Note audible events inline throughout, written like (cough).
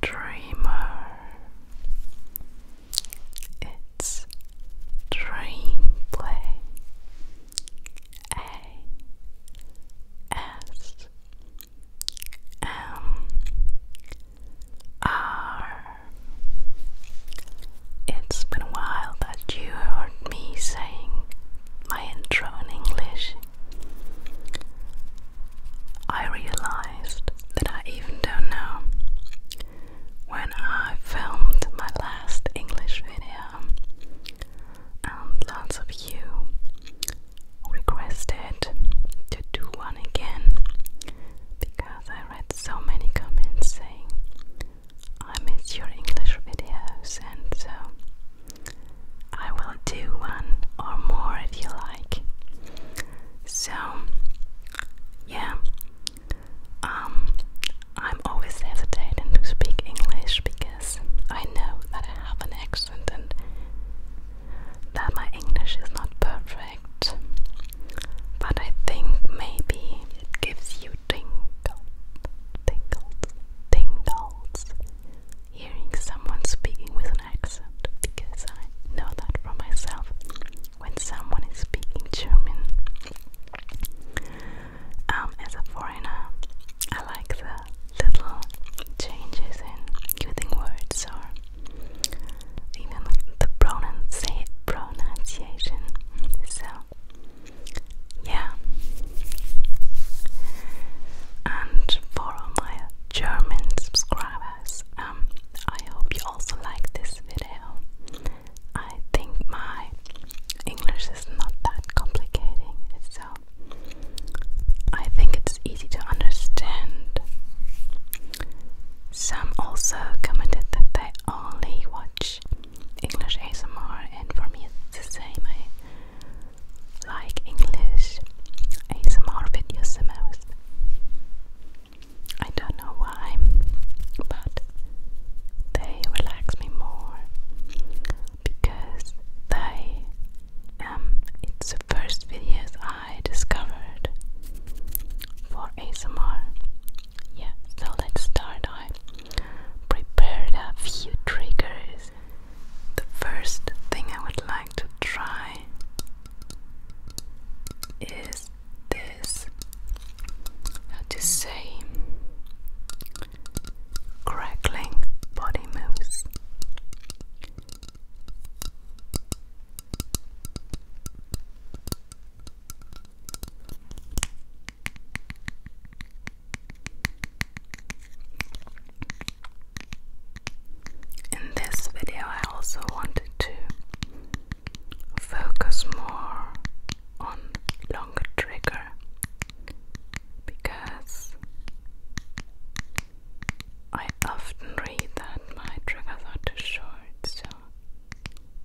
dreamer. It's dream A S M R. It's been a while that you heard me saying my intro in English. I realized that I even don't know when I filmed my last English video, and lots of you requested to do one again because I read so many comments saying I miss your English videos, and so I will do one or more if you like. So, yeah, um, I'm always hesitating to speak English because I know that I have an accent and that my English is not perfect. But I think maybe it gives you tingles, tingles, tingles hearing someone speaking with an accent because I know that for myself when someone is speaking German um, as a foreigner I like the little changes in using words or even the pronunci pronunciation so yeah and for my German subscribers um, I hope you also like this video. I think my English is not that complicating, so I think it's easy to understand. Some also commented that they only watch English ASMR, and for me it's the same like English ASMR videos the most. I don't know why, but they relax me more because they um it's the first videos I discovered for ASMR. Yeah, so let's start. I prepared a few triggers. The first thing I would like to try is this how to crackling body moves in this video, I also wanted to focus more on longer trigger because I often read that my triggers are too short, so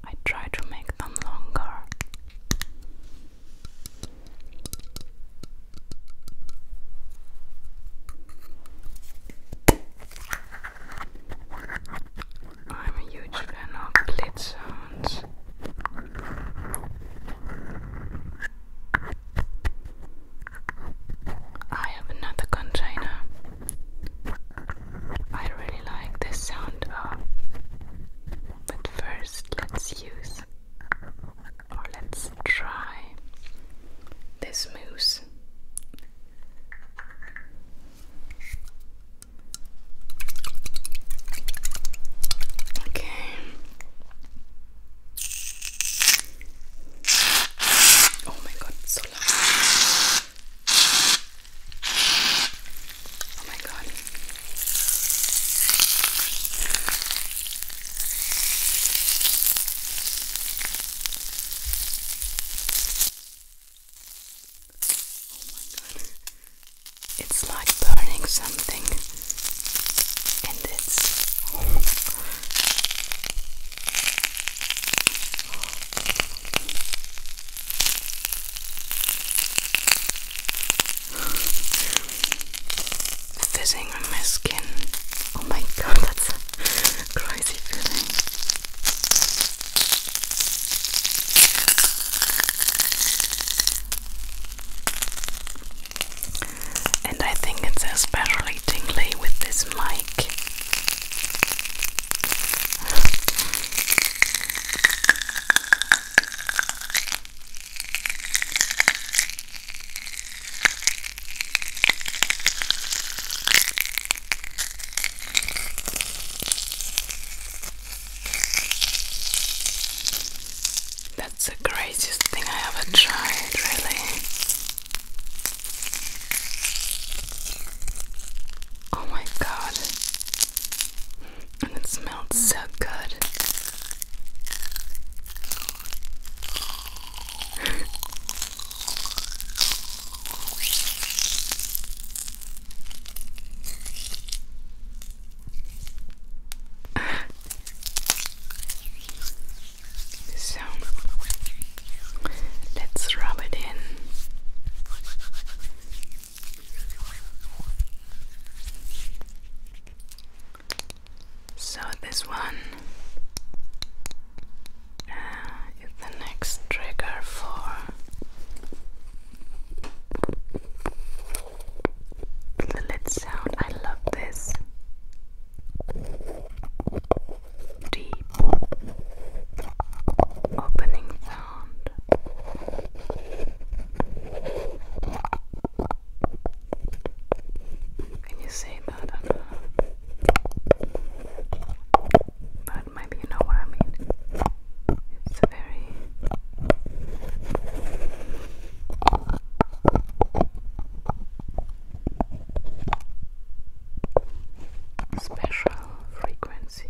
I try to make them longer. I'm a huge fan of blitz sounds. I have another container. I really like the sound But first, let's use or let's try this mousse. Okay. Oh my god, it's so loud. Oh my god. Oh it's like burning something. And it's. Oh Fizzing on my skin. Oh my god, that's (laughs) And I think it's especially tingly with this mic. That's the craziest thing I ever tried, really. Oh my god. And it smelled so good. (laughs) So let's rub it in. So this one is the next trigger for the lid sound. I love this deep opening sound. Can you say that? But maybe you know what I mean. It's a very special frequency.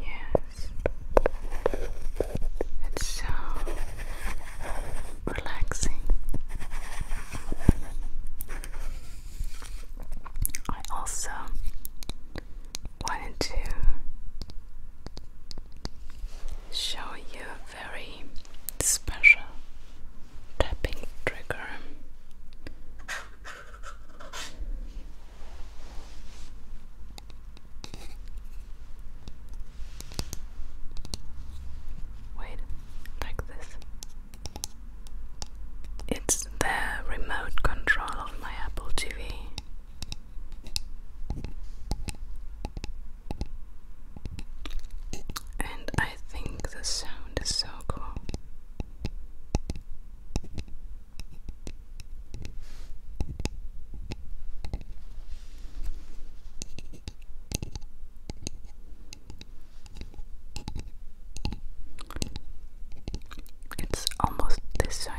Yes, it's so relaxing. I also wanted to show you a very special tapping trigger. Wait, like this. It's the remote control of my Apple TV. And I think the sound is so cool. It's almost the same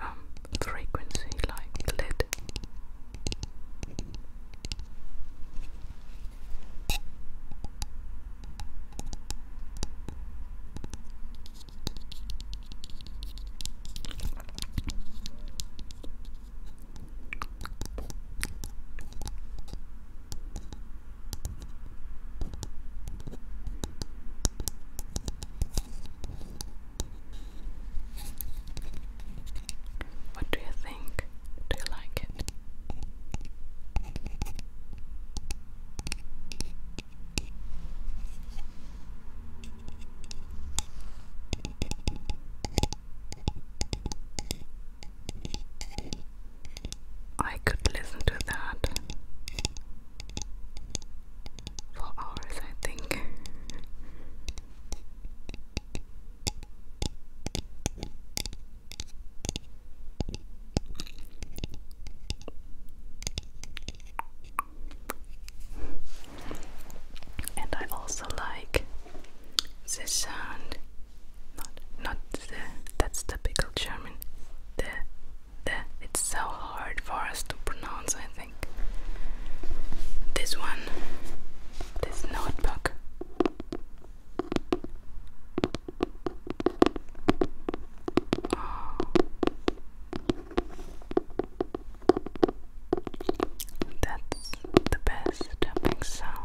um, frequency like lead. What do you think? Do you like it? I could listen to that for hours, I think. And I also like the sound, not not the that's typical German. The the it's so hard for us to pronounce. I think this one, this notebook. That's the best tapping sound.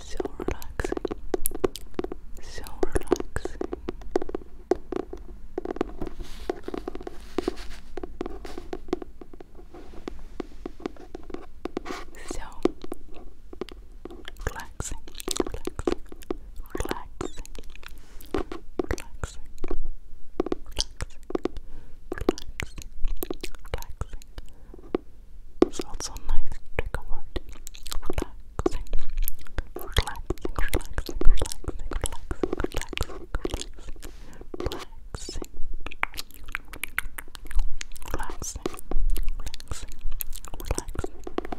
So relaxing, so relaxing. So relaxing, relaxing, relaxing, relaxing, relaxing, relaxing, relaxing. It's also a nice trigger word. Relaxing, relaxing, relaxing, relaxing, relaxing, relaxing, relaxing, relaxing. Relaxing, relaxing, relaxing,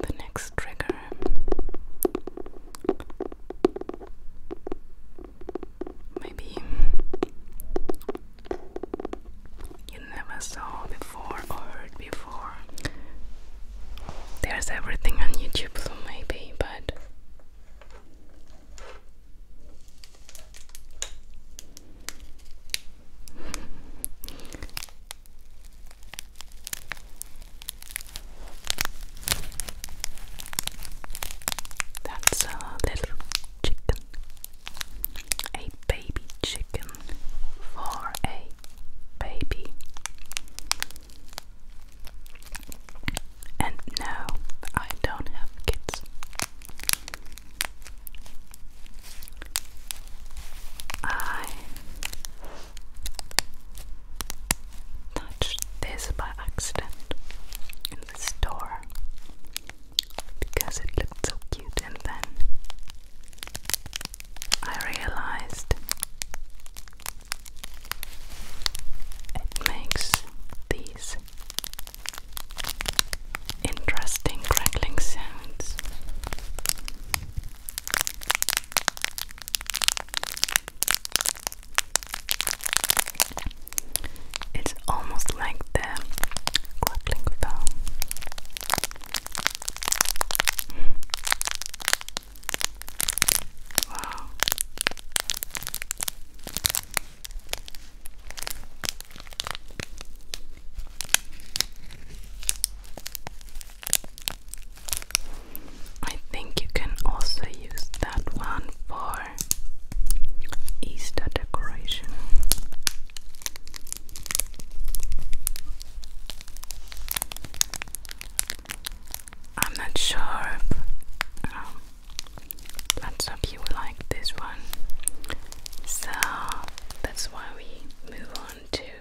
the next trigger. Maybe you never saw before or heard before. There's everything on YouTube, so maybe, but that's a little chicken, a baby chicken for a baby. And no, I don't have kids. I touched this by accident in the store because it looked so cute, and then I realized it makes these interesting crackling sounds. It's almost like the crackling bell. Wow. I think you can also use that one for Easter decoration. I'm not sure if um, lots like this one, so that's why we move on to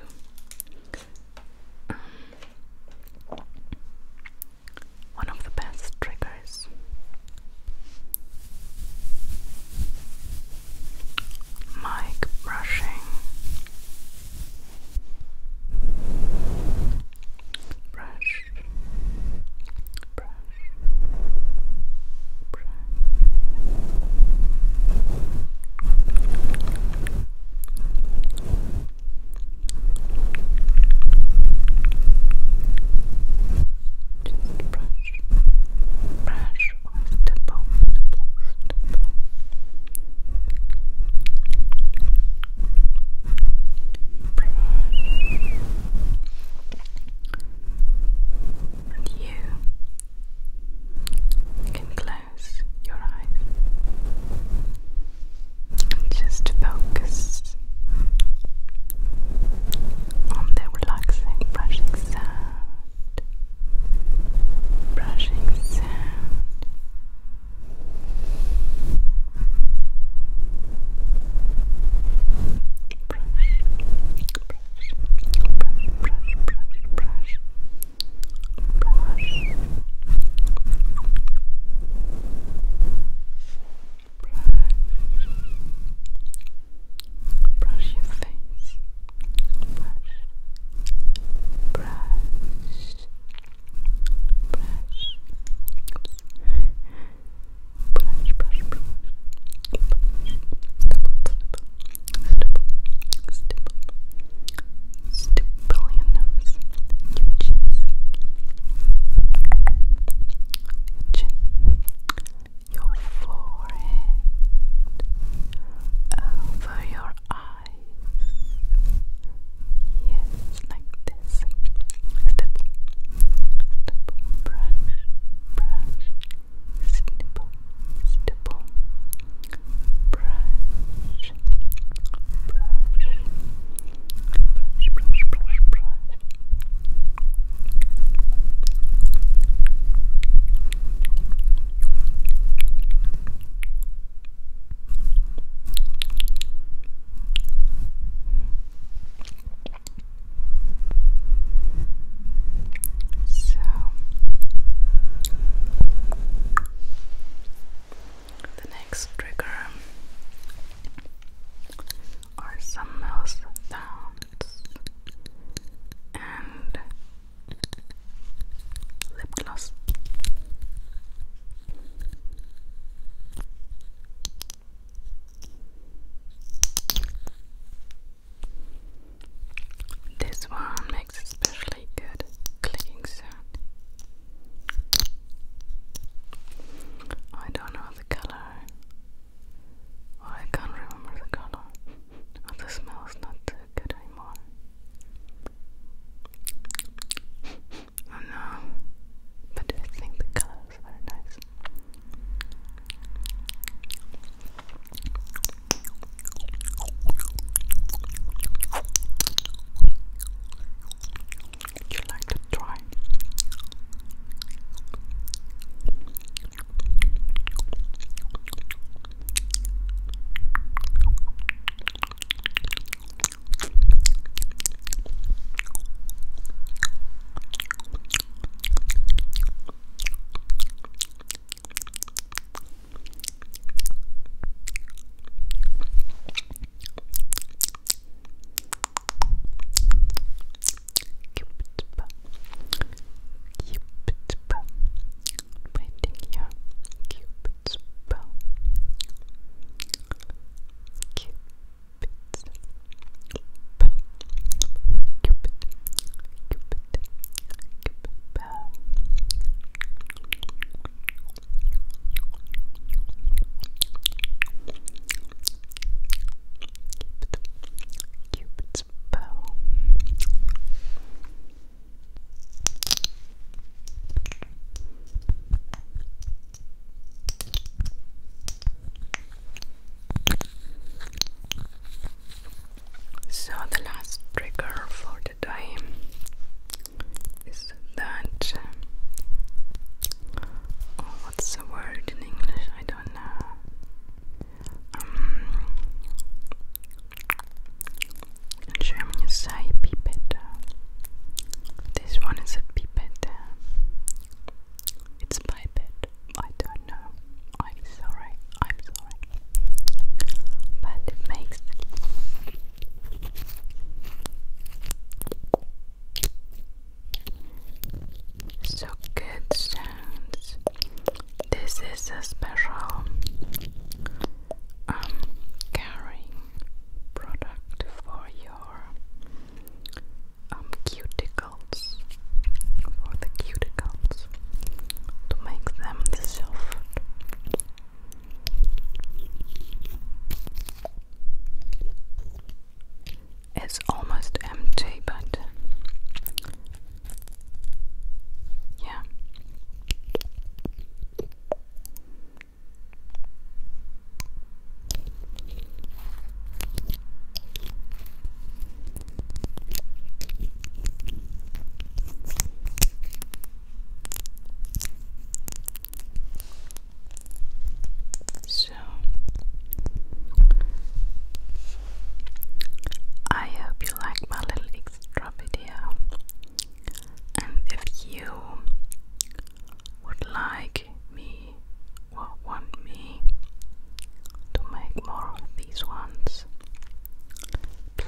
one of the best triggers. Mic brushing. Brush. Brush. Brush. Just brush, brush off the Brush. you can close your eyes just focus on the relaxing brushing sound, brushing sound. Brush, brush, brush, brush, brush, brush, brush, brush, brush your face, brush, brush, brush, brush, brush, brush, brush stipple, stipple, stipple your nose, your cheeks, your forehead, over your eyes, yes, like this, stipple, stipple, brush, brush, stipple, stipple, brush, brush, brush, brush, brush. So the next trigger are some mouth sounds and lip gloss. This one makes especially good clicking sound. I don't know the color. I can't remember the color. Oh, the smell is not good anymore. Oh no. But I think the color is nice. Would you like to try? Cupid's bow. Cupid's bow. Waiting here. Cupid's bow. Cupid's bow. Cupid. Cupid. Cupid bow. So the last trigger for the time is that oh, what's the word in English? I don't know. Um, German say pipette. This one is a pipette. It's pipette. I don't know. I'm sorry. I'm sorry. But it makes so good sounds. This is a special um caring product for your um cuticles for the cuticles to make them soft it's almost empty, but yeah. So I hope you like my little extra video and if you would like me or want me to make more of these ones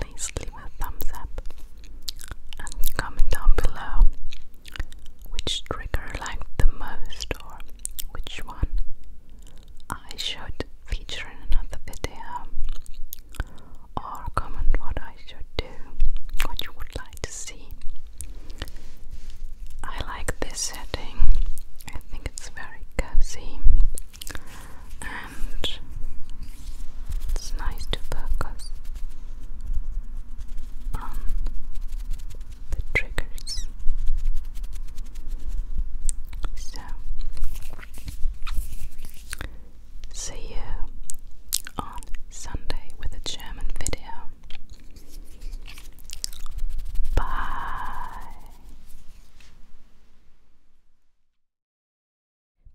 please leave a thumbs up and comment down below which trigger I liked the most or which one I should feature in another video or comment what I should do, what you would like to see. I like this setting, I think it's very cozy and it's nice to focus on the triggers. So, see you on Sunday with a German video. Bye.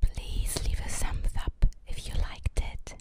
Please leave a thumbs up if you liked it.